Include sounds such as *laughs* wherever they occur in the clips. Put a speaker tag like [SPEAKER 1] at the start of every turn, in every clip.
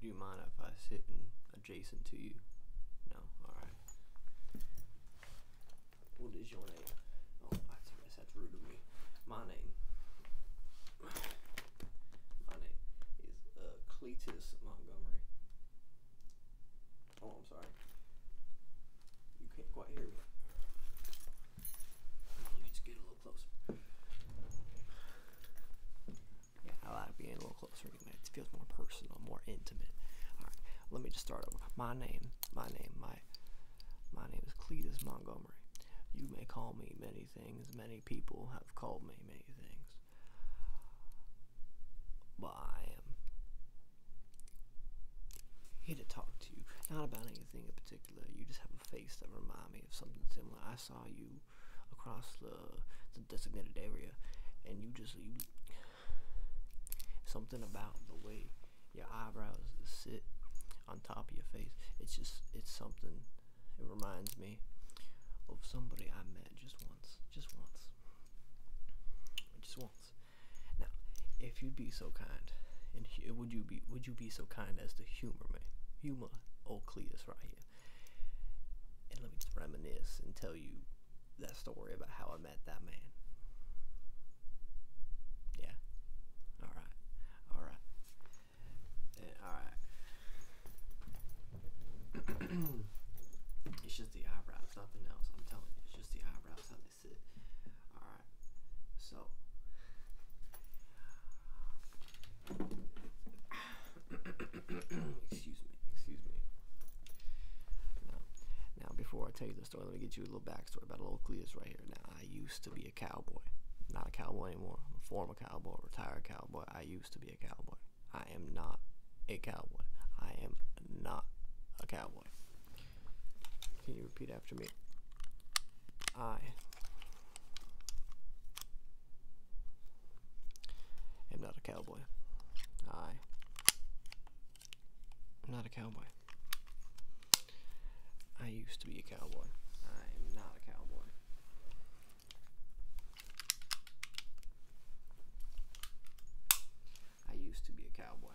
[SPEAKER 1] Do you mind if I sit adjacent to you? No? Alright. What is your name? Oh, guess that's rude of me. My name. My name is uh, Cletus Montgomery. Oh, I'm sorry. You can't quite hear me. Let me just get a little closer. Yeah, I like being a little closer. It feels more personal, more intimate. All right, let me just start over. My name, my name, my my name is Cletus Montgomery. You may call me many things. Many people have called me many things. But I am here to talk to you. Not about anything in particular. You just have a face that reminds me of something similar. I saw you across the, designated area, and you just something about the way your eyebrows sit on top of your face. It's just it's something. It reminds me of somebody I met just once, just once, just once. Now, if you'd be so kind, and would you be would you be so kind as to humor me, humor old Cletus right here, and let me reminisce and tell you that story about how I met that man. Yeah. All right. All right. all right. it's just the eyebrows, nothing else. I'm telling you, it's just the eyebrows how they sit. All right. So. *coughs* excuse me, excuse me. Now, now, before I tell you the story, let me get you a little backstory about a little Cletus right here. Now, I used to be cowboy. Not a cowboy anymore. former cowboy, retired cowboy. I used to be a cowboy. I am not a cowboy. I am not a cowboy. Can you repeat after me? I am not a cowboy. I am not a cowboy. I used to be a cowboy. I'm not a cowboy. I used to be a cowboy.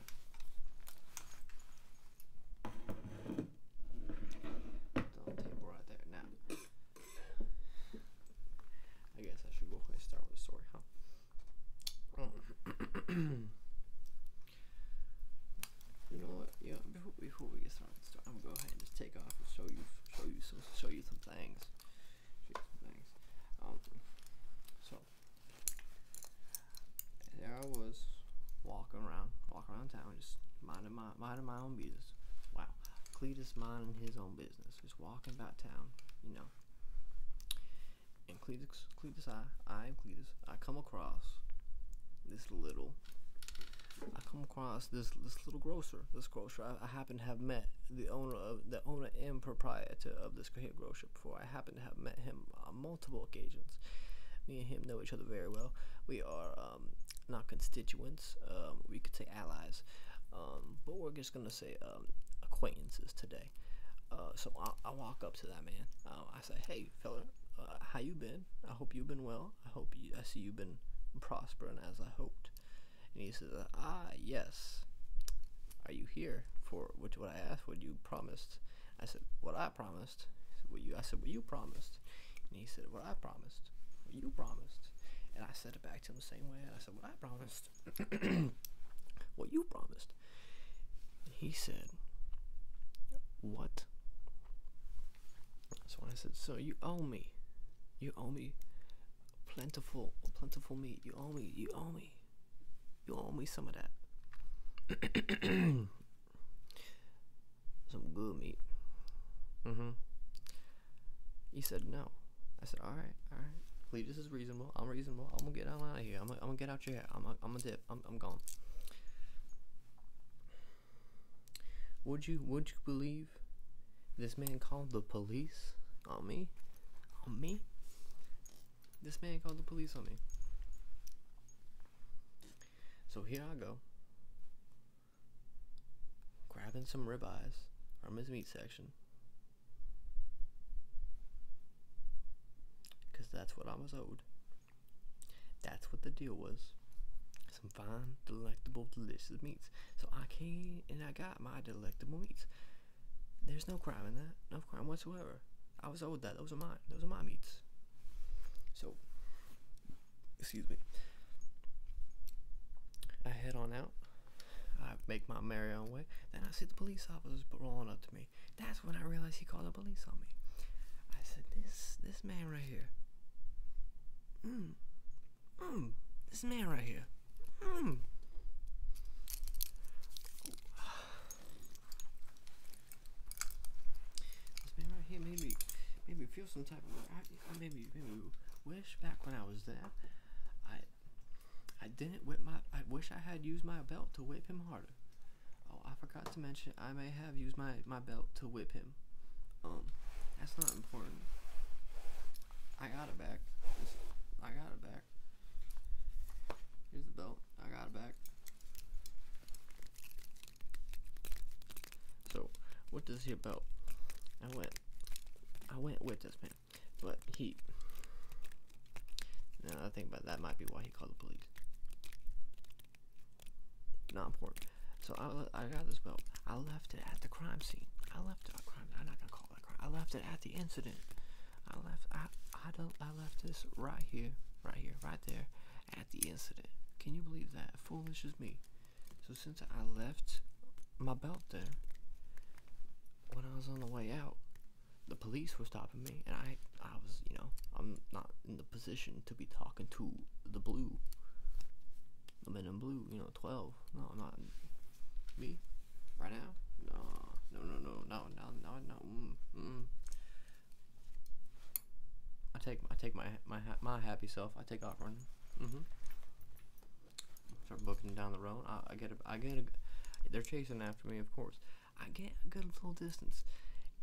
[SPEAKER 1] Put the table right there. Now, I guess I should go ahead and start with the story, huh? *clears throat* *clears throat* You know what? Yeah. Before, we get started, I'm gonna go ahead and just take off and show you, show you some, Show you some things. Um. So there I was walking around, walking around town, just minding my minding my own business. Wow. Cletus minding his own business, just walking about town. You know. And Cletus, I, come across this little. I come across this this little grocer. This grocer I, happen to have met the owner of the owner and proprietor of this here grocer before. I happen to have met him on multiple occasions. Me and him know each other very well. We are um, not constituents. Um, we could say allies, um, but we're just gonna say acquaintances today. Uh, so I, I, walk up to that man. I say, hey, fella, uh, how you been? I hope you've been well. I hope I see you've been prospering as I hoped. And he says, ah, yes. Are you here for which what I asked? What you promised? I said, what I promised. Said, what you? I said, what you promised. And he said, what I promised. What you promised. And I said it back to him the same way. I said, what I promised. *clears throat* what you promised. he said, what so I said, "So you owe me, you owe me plentiful, plentiful meat. You owe me, you owe me, you owe me some of that, *clears throat* some good meat." Mm-hmm. He said no. I said, "All right, all right. this is reasonable. I'm reasonable. I'm gonna get out of here. I'm gonna, get out your hair. I'm going I'm gonna dip." I'm, gone. Would you would you believe this man called the police on me? On me? This man called the police on me. So here I go. Grabbing some ribeyes from his meat section. Cause that's what I was owed. That's what the deal was. Some fine, delectable, delicious meats. So I came and I got my delectable meats. There's no crime in that. No crime whatsoever. I was old. that. Those are mine. Those are my meats. So, excuse me. I head on out. I make my merry own way. Then I see the police officers pulling up to me. That's when I realized he called the police on me. I said, "This this man right here. Mm, mm, this man right here. Mm. *sighs* This man right here made me made me feel some type of way. I, made me made me wish back when I was there. I I didn't whip my. I wish I had used my belt to whip him harder." Oh, I forgot to mention I may have used my my belt to whip him. Um, that's not important. I got it back. I got it back. Here's the belt. I got it back. So, what does he about? I went, I went with this man, but he. Now I think about that might be why he called the police. Not important. So I, I got this belt. I left it at the crime scene. I left it at crime. I'm not gonna call it a crime. I left it at the incident. I left. I I don't. I left this right here, right here, right there, at the incident. Can you believe that? Foolish as me. So since I left my belt there, when I was on the way out, the police were stopping me, and I I was you know I'm not in the position to be talking to the blue. The men in blue, you know, 12. No, not me. Right now? No, no, no, no, no, no, no, no. Mm, mm. I take, I take my, my, my happy self. I take off running. Mm-hmm. Start booking down the road. I, I get, a, I get a. They're chasing after me, of course. I get a good little distance,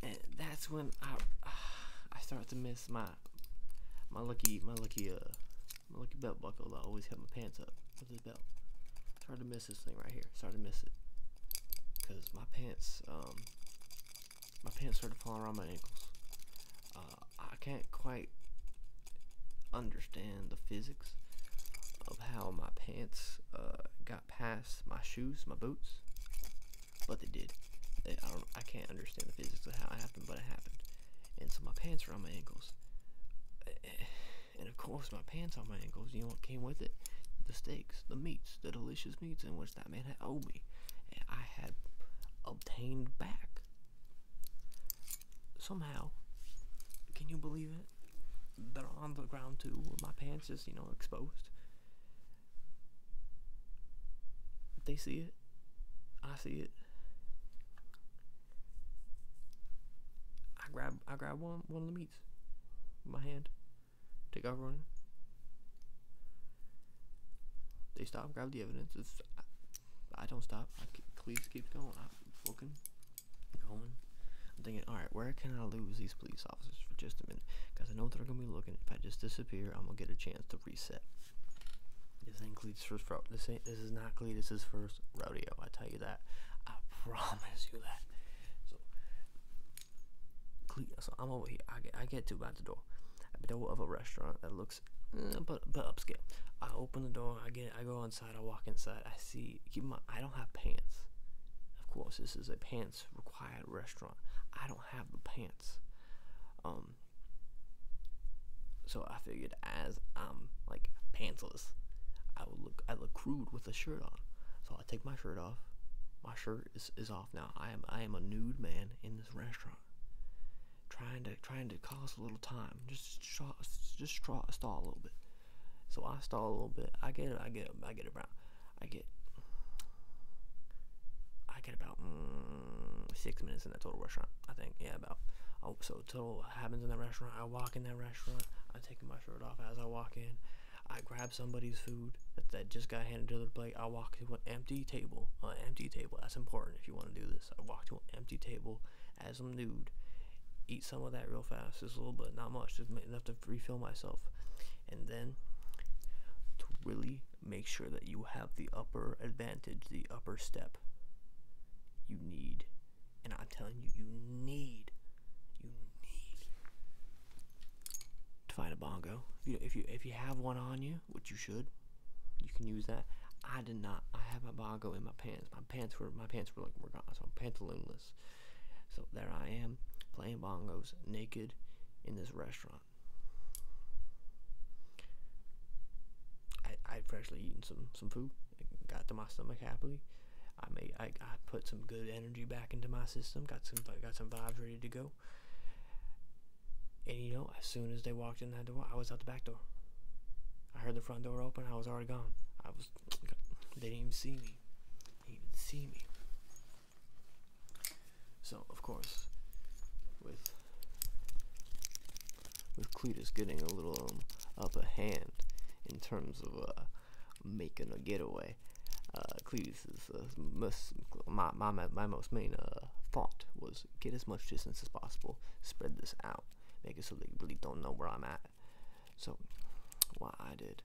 [SPEAKER 1] and that's when I *sighs* I start to miss my my lucky my lucky uh my lucky belt buckle. I always have my pants up with this belt. Started to miss this thing right here. Started to miss it because my pants um my pants started falling around my ankles. Uh, I can't quite understand the physics of how my pants uh, got got past my shoes, my boots, but they did. I, can't understand the physics of how it happened, but it happened. And so my pants are on my ankles. *sighs* And of course, my pants on my ankles, you know what came with it? The steaks, the meats, the delicious meats in which that man had owed me. And I had obtained back. Somehow. Can you believe it? they're on the ground too. My pants just, you know, exposed. They see it. I see it. I grab I grab one one of the meats my hand. Take off running. They stop, grab the evidence. It's, I, don't stop. I keep, police keeps going. I'm fucking going. I'm thinking, alright, where can I lose these police for just a minute, because I know they're gonna be looking. If I just disappear, I'm gonna get a chance to reset. This ain't Cletus first. This ain't. This is not Cletus's first rodeo. I tell you that. I *laughs* promise you that. So, Cletus. So I'm over here. I get. I get to about the door. At the door of a restaurant that looks, mm, but but upscale. I open the door. I get. I go inside. I walk inside. I see. Keep in mind. I don't have pants. Of course, this is a pants required restaurant. I don't have the pants. Um so I figured as I'm like pantsless, I would look I look crude with a shirt on. So I take my shirt off. My shirt is, is off now. I am I am a nude man in this restaurant. Trying to trying to cost a little time. Just straw, just stall a little bit. So I stall a little bit. I get it. I get it. I get around. I get I get about mm, six minutes in that total restaurant. I think yeah, about. Oh, so total happens in that restaurant. I walk in that restaurant. I take my shirt off as I walk in. I grab somebody's food that, just got handed to the plate. I walk to an empty table. An empty table. That's important if you want to do this. I walk to an empty table as some nude. Eat some of that real fast, just a little bit, not much, just enough to refill myself and then to really make sure that you have the upper advantage, the upper step, you need, and I'm telling you, you need, you need to find a bongo. If you if you, have one on you, which you should, you can use that. I did not. I have my bongo in my pants. My pants were my pants were like we're gone, so i so there I am playing bongos naked in this restaurant. I I freshly eaten some some food. got to my stomach happily. I made I, I put some good energy back into my system. Got some got some vibes ready to go. And you know, as soon as they walked in that door, I was out the back door. I heard the front door open. I was already gone. I was. They didn't even see me. They didn't even see me. So of course, with with Cletus getting a little um, a hand in terms of uh, making a getaway, uh, uh most, my, my my most main uh, thought was get as much distance as possible, spread this out, make it so they really don't know where I'm at. So, what I did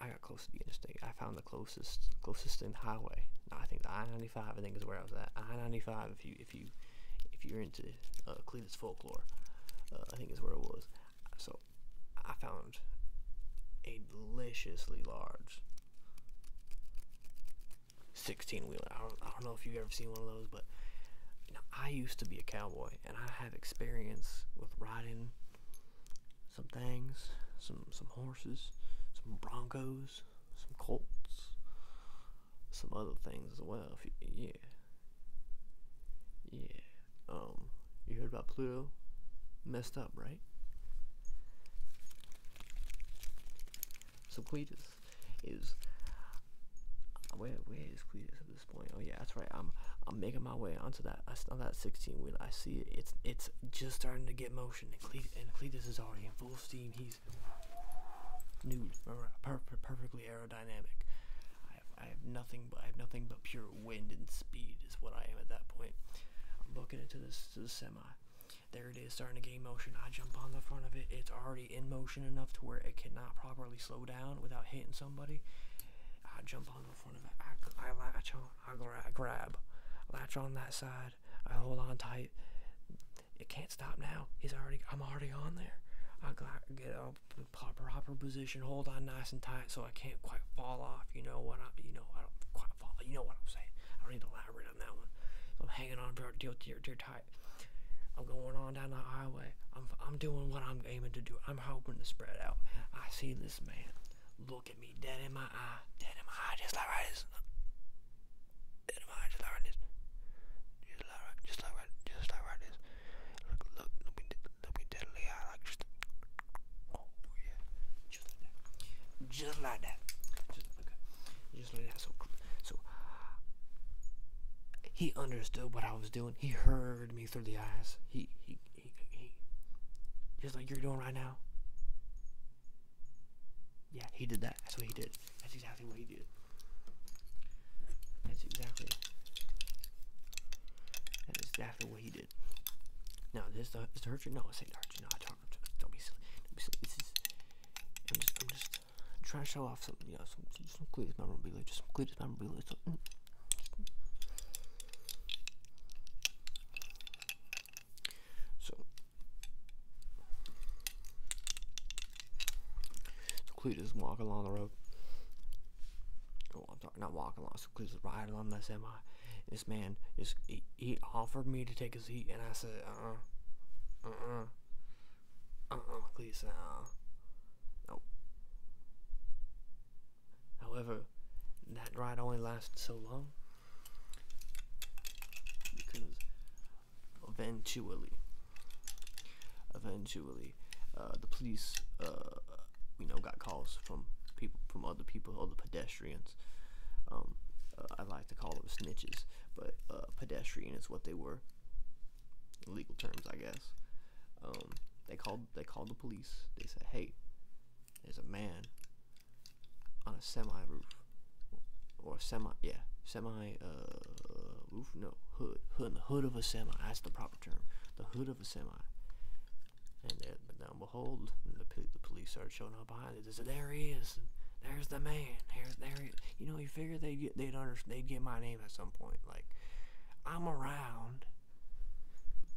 [SPEAKER 1] I, I got close to the interstate. I found the closest closest in highway. No, I think the I ninety five. I think is where I was at. I ninety five. If you if you if you're into uh, Cleveland's folklore, uh, I think is where it was. So I found a deliciously large sixteen wheeler. I, I don't, know if you've ever seen one of those, but you know, I used to be a cowboy, and I have experience with riding some things, some some horses, some broncos, some colts, some other things as well. yeah, yeah. Um, you heard about Pluto? Messed up, right? So Cletus is where where is Cletus at this point? Oh yeah, that's right. I'm I'm making my way onto that on that 16 wheel. I see it. It's it's just starting to get motion. And, Cle and Cletus is already in full steam. He's nude, perfectly aerodynamic. I have, nothing but I have nothing but pure wind and speed is what I am at that point. I'm looking into this to the semi. There it is, starting to gain motion. I jump on the front of it. It's already in motion enough to where it cannot properly slow down without hitting somebody. I jump on I, I latch on, I, grab, latch on that side, I hold on tight. It can't stop now. He's already, I'm already on there. I got get up in proper, position, hold on nice and tight, so I can't quite fall off. You know what I, you know I don't quite fall. You know what I'm saying. I don't need to elaborate on that one. I'm hanging on you're dear tight. I'm going on down the highway. I'm, I'm doing what I'm aiming to do. I'm hoping to spread out. I see this man. Look at me dead in my eye. Dead in my eye, just like right. Dead in my eye, just like This. Just like Just like Just like This. Look, look, look me, dead in the eye, like just. Oh yeah, just like that. Just like that. okay. Just like that. So, so he understood what I was doing. He heard me through the eyes. He he just like you're doing right now. Yeah, he did that. That's what he did. That's exactly what he did. That's exactly. That's exactly what he did. Now, this the is the hurt you? No, it's ain't No, I talk. Don't be silly. Don't be silly. This is. I'm just. trying to show off some. You know, some some, some memorabilia. Just some Cletus memorabilia. Mm, so, so Cletus walking along the road. Oh, I'm sorry, not walking along. So Cletus is riding along the semi. This man just he, he, offered me to take his seat, and I said, uh, uh, uh, uh, uh, Cletus, uh, nope. However, that ride only lasted so long because eventually, eventually, uh, the police, uh, you know, got calls from people, from other people, other pedestrians. Um, uh, I like to call them snitches, but pedestrian is what they were. legal terms, I guess. Um, they called they called the police. They said, "Hey, there's a man on a semi roof or semi yeah semi uh roof no hood hood the hood of a semi that's the proper term the hood of a semi." And there, now behold, the, police started showing up behind it. They said, "There he is." there's the man. There's there. you know, you figure they'd get they'd under, they'd get my name at some point. Like I'm around.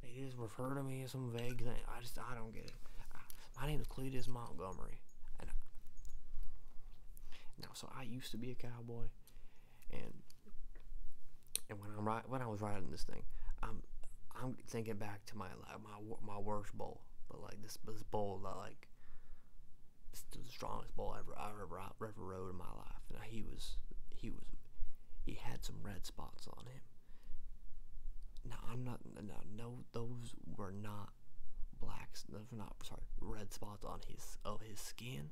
[SPEAKER 1] They Heard of me as some vague thing. I just I don't get it. my name is Cletus Montgomery, and so I used to be a cowboy, and and when I'm right when I was riding this thing, I'm I'm thinking back to my like my my worst bull, but like this this bull, that like It's the strongest bull ever ever I ever rode in my life, and he was he was he had some red spots on him. Now I'm not no no those were not blacks those were not sorry red spots on his of his skin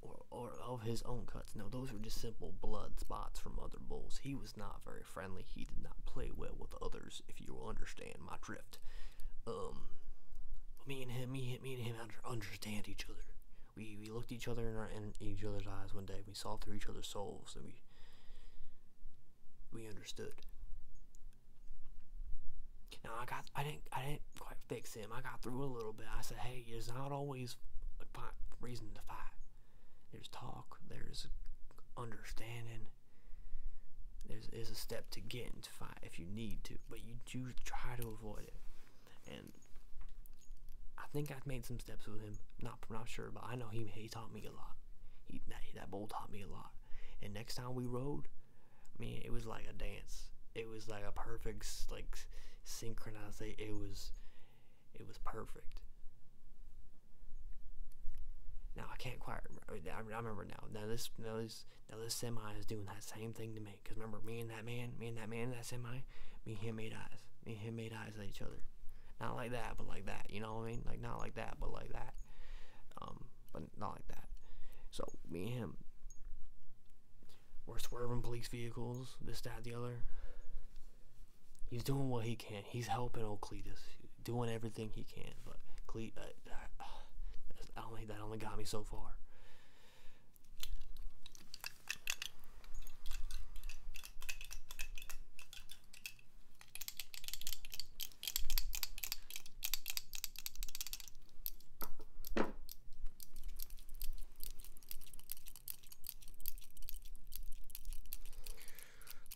[SPEAKER 1] or or of his own cuts. No, those were just simple blood spots from other bulls. He was not very friendly. He did not play well with others, if you will understand my drift. Um me and him, me, me and him understand each other we, we looked each other in, our, in each other's eyes one day. We saw through each other's souls, and we we understood. Now I got I didn't I didn't quite fix him. I got through a little bit. I said, hey, there's not always a reason to fight. There's talk. There's understanding. There's is a step to getting to fight if you need to, but you do try to avoid it. I think I've made some steps with him. Not not sure, but I know he he taught me a lot. He that, that bull taught me a lot. And next time we rode, I mean, it was like a dance. It was like a perfect like synchronization. It was it was perfect. Now I can't quite. Remember. I remember now. Now this now this now this semi is doing that same thing to me. Because remember, me and that man, me and that man, that's in my, me and him made eyes. Me and him made eyes at each other. Not like that, but like that. You know what I mean? Like, not like that, but like that. Um, but not like that. So, me and him, we're swerving police vehicles, this, that, the other. He's doing what he can. He's helping old Cletus, doing everything he can. But Cletus, uh, that, *sighs* only, that only got me so far.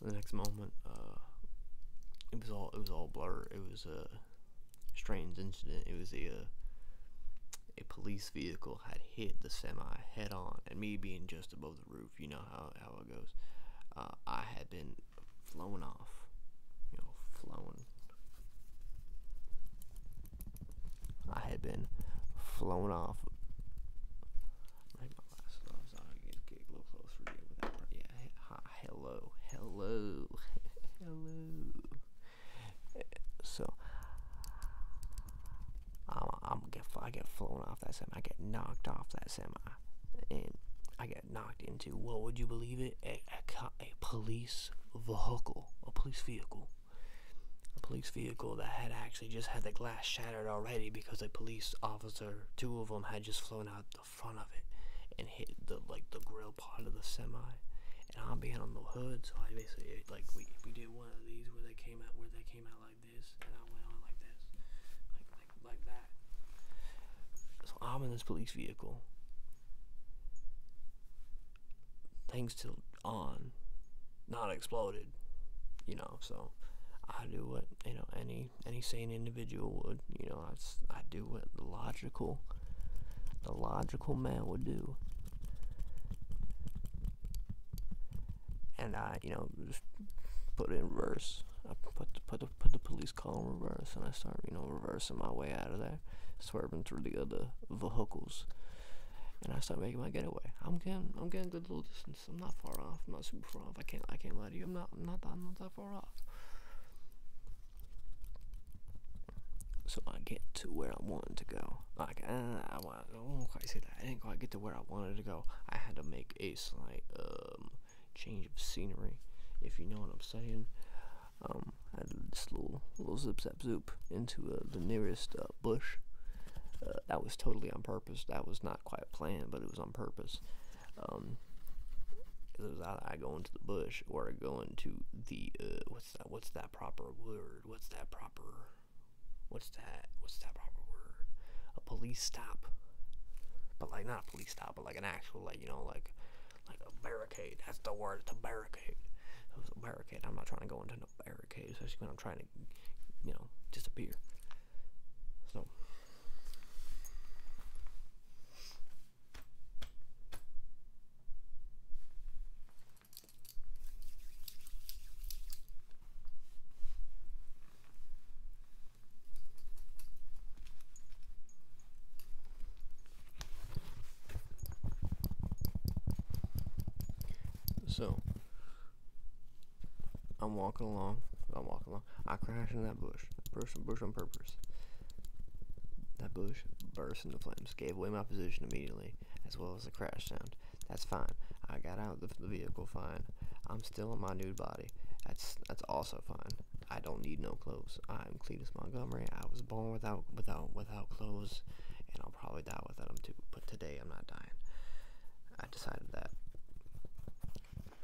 [SPEAKER 1] The next moment, uh, it was all it was all blur. It was a strange incident. It was a. Uh, a police vehicle had hit the semi head on, and me being just above the roof, you know how, how it goes. Uh, I had been flown off, you know, flown. I had been flown off. my glasses off get a little closer to you hello, hello, *laughs* hello. So I'm, I'm get flown off that semi. I get knocked off that semi, and I get knocked into what would you believe it? A, a, a police vehicle, a police vehicle, a police vehicle that had actually just had the glass shattered already because a police officer, two of them, had just flown out the front of it and hit the like the grill part of the semi I'm behind on the hood, so I basically like we we did one of these where they came out where they came out like this, and I went on like this, like like like that. So I'm in this police vehicle. Things still on, not exploded, you know. So I do what you know any any sane individual would. You know, I I do what the logical the logical man would do and I, you know, just put it in reverse. I put the, put put the police call in reverse, and I start, you know, reversing my way out of there, swerving through the other vehicles, and I start making my getaway. I'm getting, I'm getting a good little distance. I'm not far off. I'm not super far off. I can't, I can't lie to you. I'm not, I'm not, I'm not that far off so I get to where I wanted to go. Like, uh, I, want, I don't quite say that. I didn't quite get to where I wanted to go. I had to make a slight um, change of scenery, if you know what I'm saying. Um, I did this little, little zip zap zoop into uh, the nearest uh, bush. that was totally on purpose. That was not quite planned, but it was on purpose. Um, it was either I go into the bush or I go into the what's that? What's that proper word? What's that proper? What's that? What's that proper word? A police stop, but like not a police stop, but like an actual like you know like like a barricade. That's the word. It's a barricade. It was a barricade. I'm not trying to go into a barricade, especially when I'm trying to you know disappear. So. So I'm walking along. I'm walking along. I crash into that bush. Burst bush on purpose. That bush burst into flames, gave away my position immediately, as well well as a crash sound. That's fine. I got out of the vehicle fine. I'm still in my nude body. That's that's also fine. I don't need no clothes. I'm Cletus Montgomery. I was born without without without clothes, and I'll probably die without them too. But today I'm not dying. I decided that.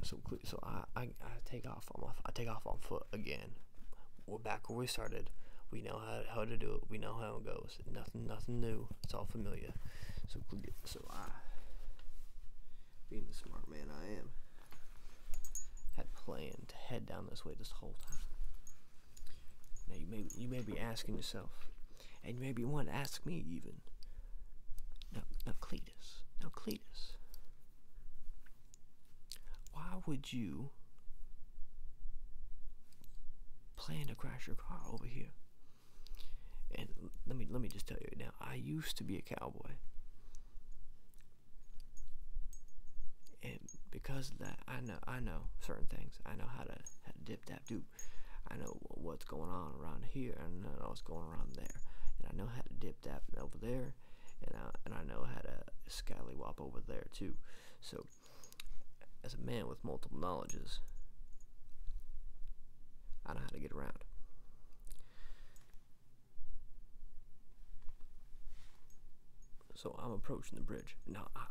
[SPEAKER 1] So so I I, I take off on my, I take off on foot again we're back where we started. We know how, how to do it. We know how it goes. Nothing, nothing new. It's all familiar. So, so I, being the smart man I am, had planned to head down this way this whole time. Now you may, you may be asking yourself, and you may be want to ask me even. Now, now Cletus, now Cletus, why would you plan to crash your car over here. And let me let me just tell you now, I used to be a cowboy. And because of that, I know I know certain things. I know how to dip that do. I know what's going on around here, and I know what's going around there, and I know how to dip that over there, and I and I know how to scallywop over there too. So as a man with multiple knowledges, I know how to get around. So I'm approaching the bridge. Now I,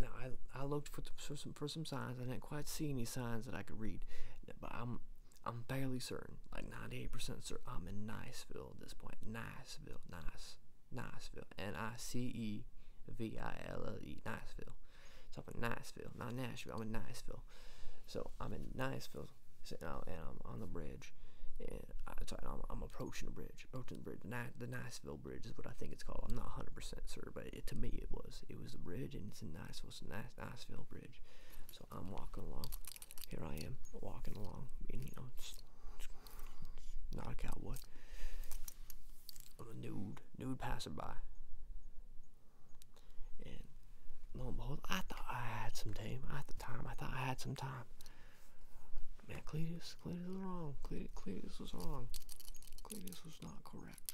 [SPEAKER 1] now I, I looked for, for some for some signs. I didn't quite see any signs that I could read, but I'm I'm fairly certain, like 98% certain, I'm in Niceville at this point. Niceville, nice, Nashville, N I C E V I L L E. Nashville. So I'm in Niceville, not Nashville. I'm in Nashville, So I'm in Nashville. and I'm on the bridge, and I, am approaching the bridge, approaching the bridge. The, Nashville Bridge is what I think it's called. I'm not 100 percent sure, but to me it was. It was a bridge, and it's in Nashville. so Nice Bridge. So I'm walking along. Here I am walking along, and you know, just, not a cowboy. i a nude, nude passerby. And lo and behold, I thought I had some time. At the time, I thought I had some time. Man, Cletus, Cletus was wrong. Cletus, Cletus was wrong. Cletus was not correct.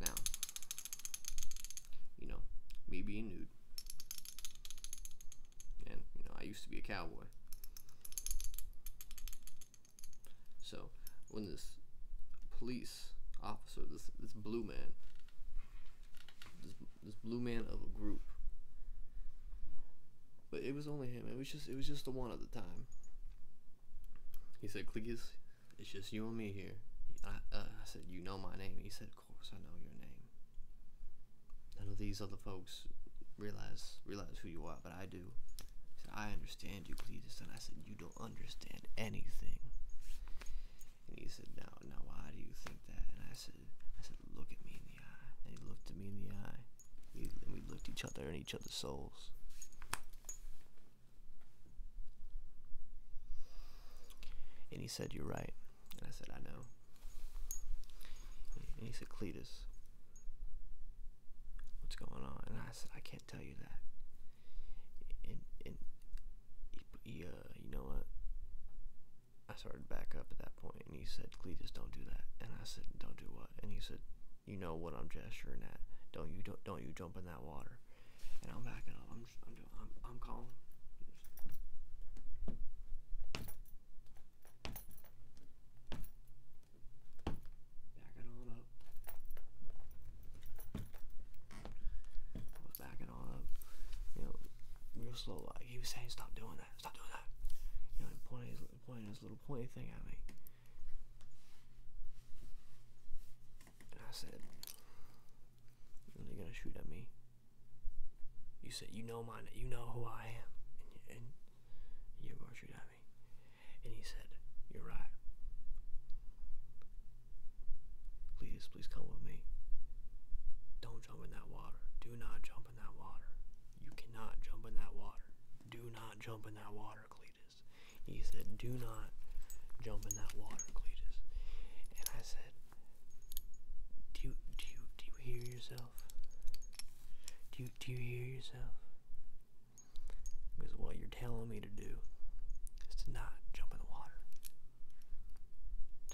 [SPEAKER 1] Now, you know, me being nude, and, you know, I used to be a cowboy. So, when this police officer, this, this blue man, this, this blue man of a group, but it was only him. It was just it was just the one at the time. He said, "Cleitus, it's just you and me here. Uh, I, said, you know my name. He said, of course I know your name. None of these other folks realize realize who you are, but I do. He said, I understand you, Cleitus," And I said, you don't understand anything. And he said, now, now why do you think that? And I said, I said, look at me in the eye. And he looked at me in the eye. We, looked each other in each other's souls. And he said, You're right. And I said, I know. And he said, Cletus, what's going on? And I said, I can't tell you that. And, and uh, you know what? I started to back up at that point and he said, Cletus, don't do that. And I said, Don't do what? And he said, You know what I'm gesturing at. Don't you don't don't you jump in that water? And I'm backing up. I'm just, I'm I'm I'm calling. Backing on I was backing on You know, real slow. Like he was saying, "Stop doing that. Stop doing that." You know, pointing pointing his little pointy thing at me. And I said, Are they gonna shoot at me? You said, You know mine. you know who I am. and you're gonna shoot at me. And he said, You're right. Please, please come with me. Don't jump in that water. Do not jump jump in that water. You cannot jump in that water. Do not jump in that water, Cletus. He said, Do not jump in that water, Cletus. And I said, Do you do you do you hear yourself? Do you do you hear yourself? Because what you're telling me to do is to not jump in the water.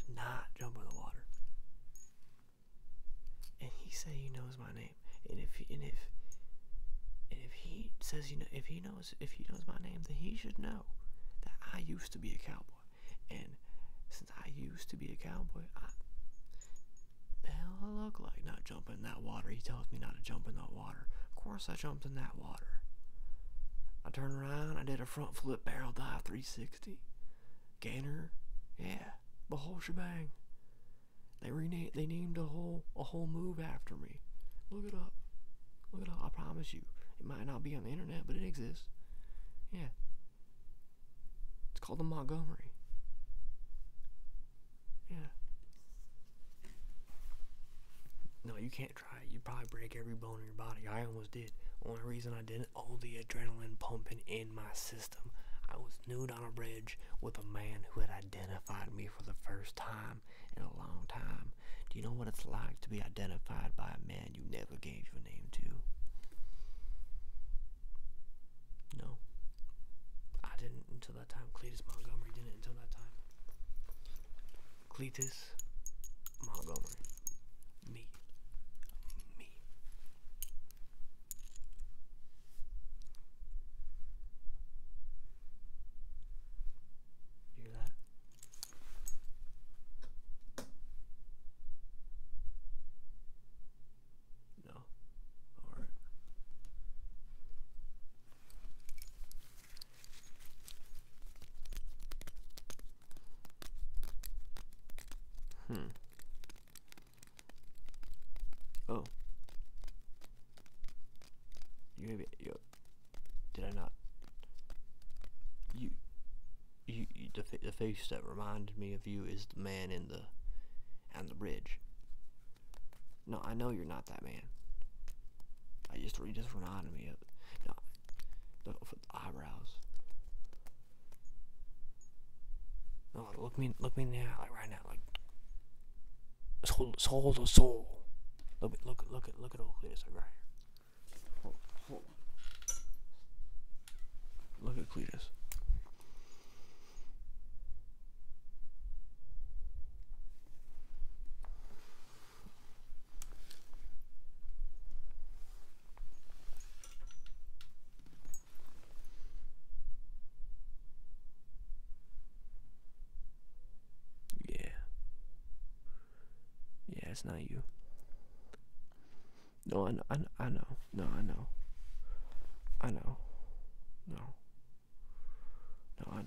[SPEAKER 1] To not jump in the water and he said he knows my name, and if he, and if and if he says you know if he knows if he knows my name, then he should know that I used to be a cowboy, and since I used to be a cowboy, I the hell I look like not jumping in that water. He tells me not to jump in that water. Of course, I jumped in that water. I turned around, I did a front flip barrel dive 360. Gainer, yeah the whole shebang. They renamed they named a whole a whole move after me. Look it up. Look it up. I promise you. It might not be on the internet, but it exists. Yeah. It's called the Montgomery. Yeah. No, you can't try it. You'd probably break every bone in your body. I almost did. The Only reason I didn't all the adrenaline pumping in my system. I was nude on a bridge with a man who had identified me for the first time in a long time. Do you know what it's like to be identified by a man you never gave your name to? No. I didn't until that time. Cletus Montgomery didn't until that time. Cletus Montgomery. Me. Me. Hear that? No. All right. Hmm. Oh. You gave it. Yo, did I not? You. You, the, the face that reminded me of you is the man in the on the bridge. No, I know you're not that man. I just you just reminded me of No, the eyebrows. No, oh, look me, look me now, like right now, like soul, soul to soul. Look, look, look at, look at all this, like right here. Hold, hold. Look at Cletus. Yeah. Yeah, it's not you. No, I know, I know, No, I know. I know. No. No, I know.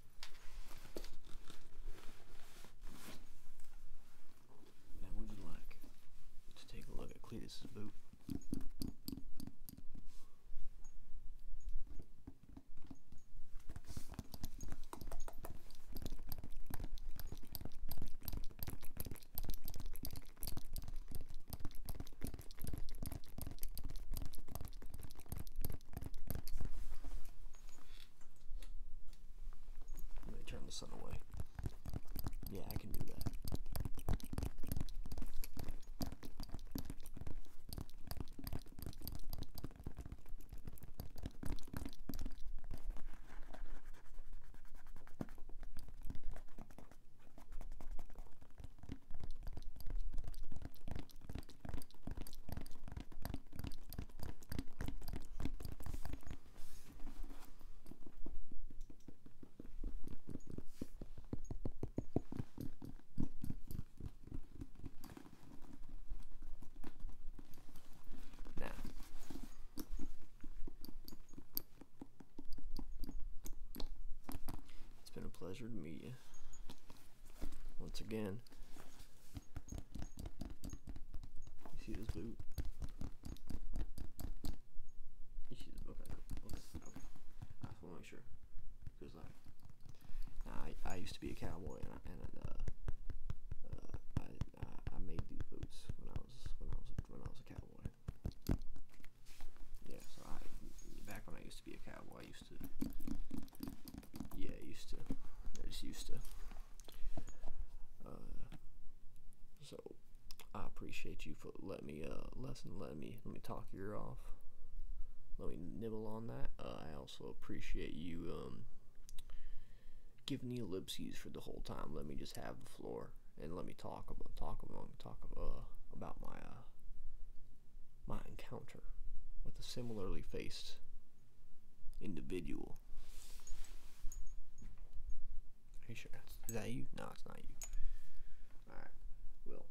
[SPEAKER 1] And would like to take a look at Cletus's boot? Let me turn the sun away. Yeah, I can do that. Now, it's been a pleasure to meet you once again. You see this boot? You see this boot? Okay, okay, I want to make sure. Because, like, I, I used to be a cowboy, and, uh, uh, I, I made these boots when I was when I was when I was a cowboy. Yeah, so I back when I used be a cowboy. I used to. Yeah, I used to. I just used to. Uh, so I appreciate you for letting me uh lesson. Let me let me talk you off. Let me nibble on that. Uh, I also appreciate you um, giving the ellipses for the whole time. Let me just have the floor and let me talk about talk about talk about, uh, about my my encounter with a similarly faced individual. Are you sure? Is that you? No, it's not you. Alright. Well,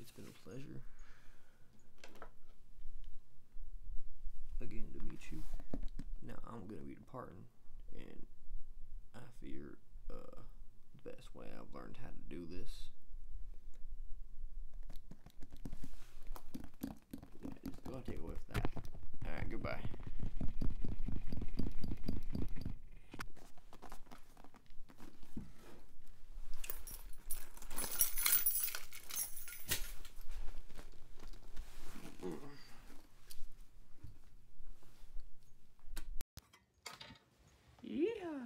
[SPEAKER 1] it's been a pleasure. Again, to meet you. Now, I'm going to be departing, and I fear uh, the best way I've learned how to do this just go take away that. Alright, goodbye. Yeah.